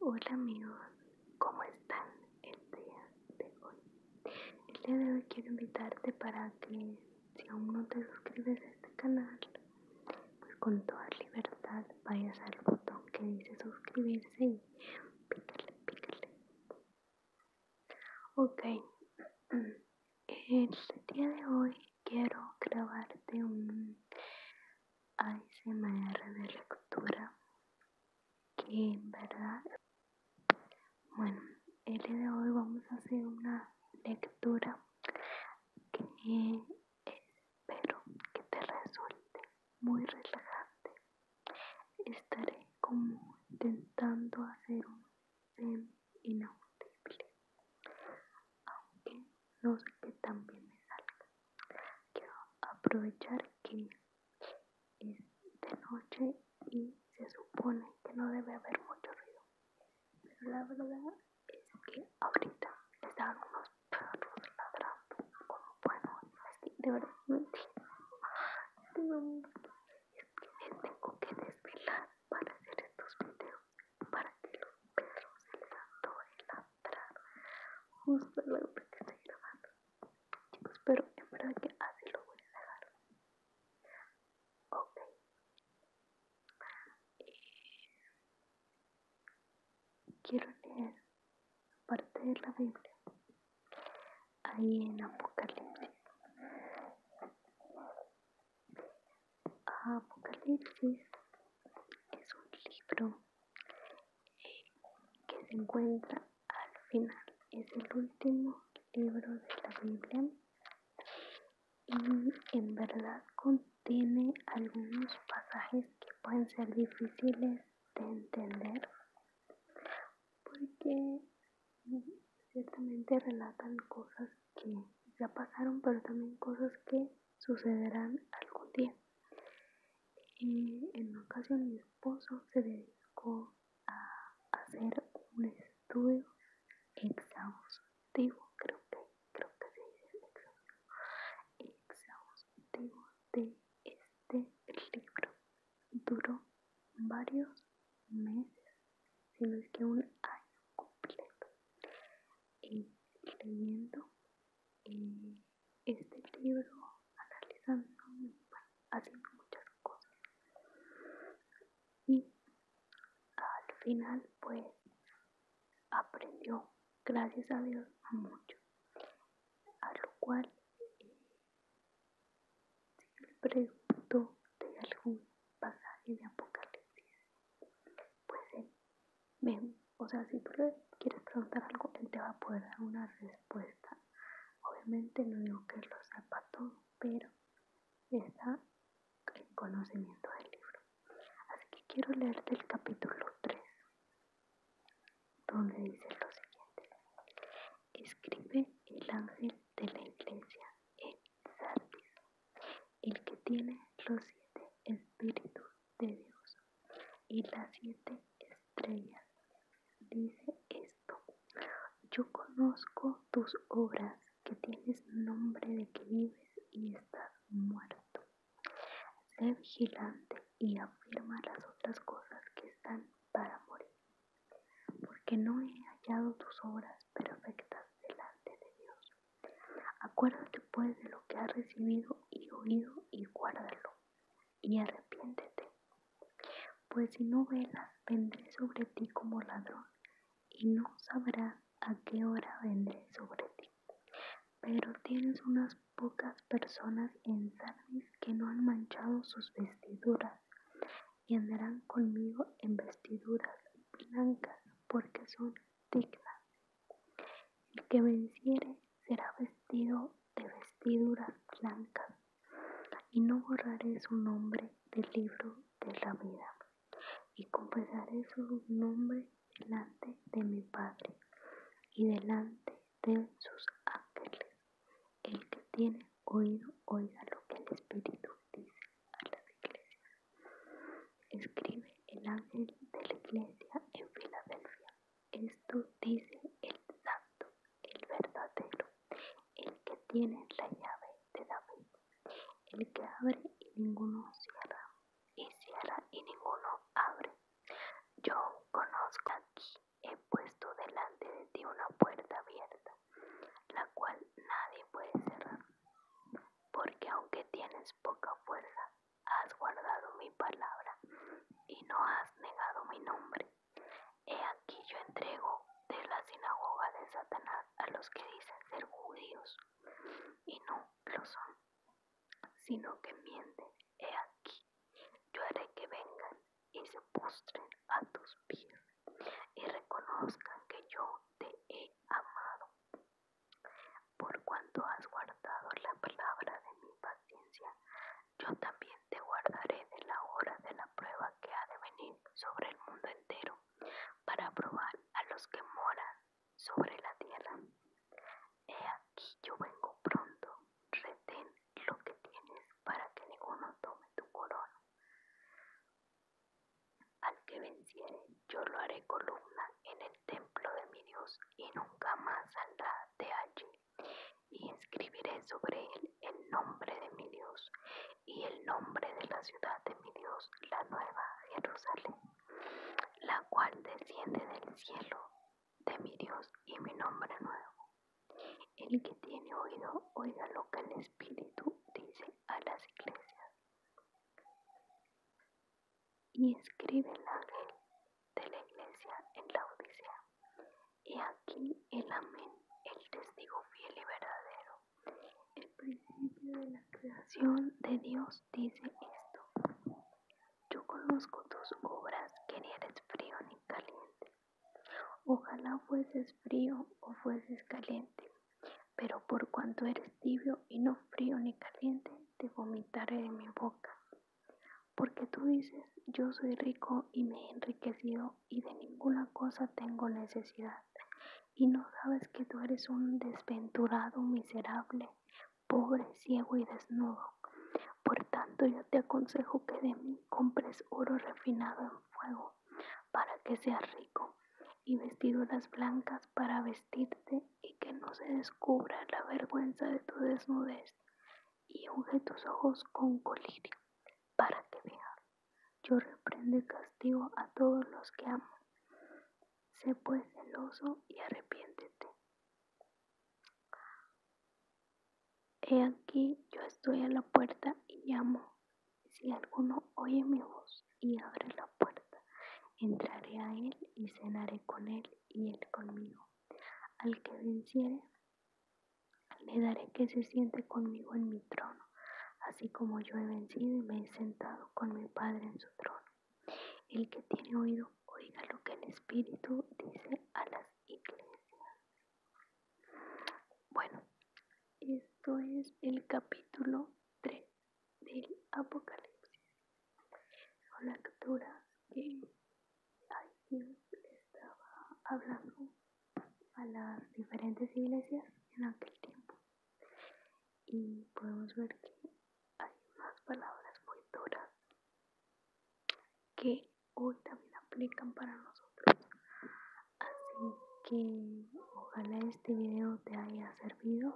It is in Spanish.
Hola amigos, ¿cómo están el día de hoy? El día de hoy quiero invitarte para que si aún no te suscribes a este canal, pues con toda libertad vayas al botón que dice suscribirse y pícale, pícale. Ok, el día de hoy quiero grabarte un ASMR de lectura que en verdad bueno el día de hoy vamos a hacer una lectura que espero que te resulte muy relajante estaré como intentando hacer un inaudible aunque no sé que también me salga quiero aprovechar que es de noche y se supone que no debe haber mucho ruido. Pero la verdad es que ahorita estaban unos perros ladrando. Como bueno, así de verdad Es que les tengo que desvelar para hacer estos videos para que los perros se les el justo la hora que estoy grabando. Chicos, pero en verdad que así lo voy a dejar. Ok. Eh, quiero leer parte de la Biblia. Ahí en Apocalipsis. Apocalipsis es un libro eh, que se encuentra al final. Es el último libro de la Biblia y en verdad contiene algunos pasajes que pueden ser difíciles de entender porque ciertamente relatan cosas que ya pasaron pero también cosas que sucederán algún día en en ocasión mi esposo se dedicó a hacer un estudio exhaustivo, creo que, creo que se de este libro. Duró varios meses, si no es que un año completo, y eh, leyendo. Eh, este libro analizando haciendo muchas cosas y al final pues aprendió gracias a Dios a mucho a lo cual eh, si le preguntó de algún pasaje de Apocalipsis pues Ven, o sea, si tú quieres preguntar algo, él te va a poder dar una respuesta. Obviamente no digo que lo los zapatos, pero está en conocimiento del libro. Así que quiero leerte el capítulo 3, donde dice lo siguiente. Escribe el ángel de la iglesia en el que tiene los siete espíritus de Dios y las siete estrellas. Dice esto, yo conozco tus obras, que tienes nombre de que vives y estás muerto. Sé vigilante y afirma las otras cosas que están para morir, porque no he hallado tus obras perfectas delante de Dios. Acuérdate pues de lo que has recibido y oído y guárdalo, y arrepiéntete. Pues si no velas, vendré sobre ti como ladrón, y no sabrá a qué hora vendré sobre ti. Pero tienes unas pocas personas en Sardis que no han manchado sus vestiduras, y andarán conmigo en vestiduras blancas, porque son dignas el que venciere será vestido de vestiduras blancas, y no borraré su nombre del libro de la vida, y confesaré su nombre delante de mi Padre y delante de sus ángeles. El que tiene oído, oiga lo que el Espíritu dice a las iglesias. Escribe el ángel de la iglesia en Filadelfia. Esto dice el santo, el verdadero, el que tiene la llave de la fe, el que abre y ninguno cierra, y cierra y ninguno abre. Yo conozco aquí, he puesto delante de ti una puerta abierta, la cual nadie puede cerrar, porque aunque tienes poca fuerza, has guardado mi palabra y no has negado mi nombre. He aquí yo entrego de la sinagoga de Satanás a los que dicen ser judíos y no lo son, sino que mienten. He aquí, yo haré que vengan y se postren a tus pies y reconozcan que yo te he amado. Por cuanto has guardado la palabra de mi paciencia, yo también te guardaré de la hora de la prueba que ha de venir sobre el mundo entero, para probar a los que moran sobre la tierra. He aquí yo vengo pronto, retén lo que tienes para que ninguno tome tu corona. Al que venciere, yo lo haré columna en el templo de mi Dios y nunca más saldrá de allí. Y escribiré sobre él el nombre de mi Dios y el nombre de la ciudad de mi Dios, la nueva Jerusalén, la cual desciende del cielo de mi Dios y mi nombre nuevo. El que tiene oído, oiga lo que el Espíritu dice a las iglesias y escribe el ángel de la iglesia en la Odisea. y aquí el amén, el testigo fiel y verdadero. El principio de la creación de Dios dice esto. Yo conozco tus obras, que ni eres frío ni caliente. Ojalá fueses frío o fueses caliente, pero por cuanto eres tibio y no frío ni caliente, te vomitaré de mi boca. Porque tú dices, yo soy rico y me he enriquecido y de ninguna cosa tengo necesidad. Y no sabes que tú eres un desventurado, miserable, pobre, ciego y desnudo. Por tanto, yo te aconsejo que de mí compres oro refinado en fuego, para que seas rico, y vestiduras blancas para vestirte y que no se descubra la vergüenza de tu desnudez, y unge tus ojos con colirio, para que vean. Yo reprende castigo a todos los que amo. Sé pues celoso y arrepiéntete. He aquí, yo estoy a la puerta y llamo. Si alguno oye mi voz y abre la puerta. Entraré a él y cenaré con él y él conmigo. Al que venciere, le daré que se siente conmigo en mi trono, así como yo he vencido y me he sentado con mi Padre en su trono. El que tiene oído, oiga lo que el Espíritu dice a las iglesias. Bueno, esto es el capítulo 3 del Apocalipsis. Son las capturas que alguien le estaba hablando a las diferentes iglesias en aquel tiempo. Y podemos ver que hay más palabras muy duras que hoy también aplican para nosotros. Así que ojalá este video te haya servido.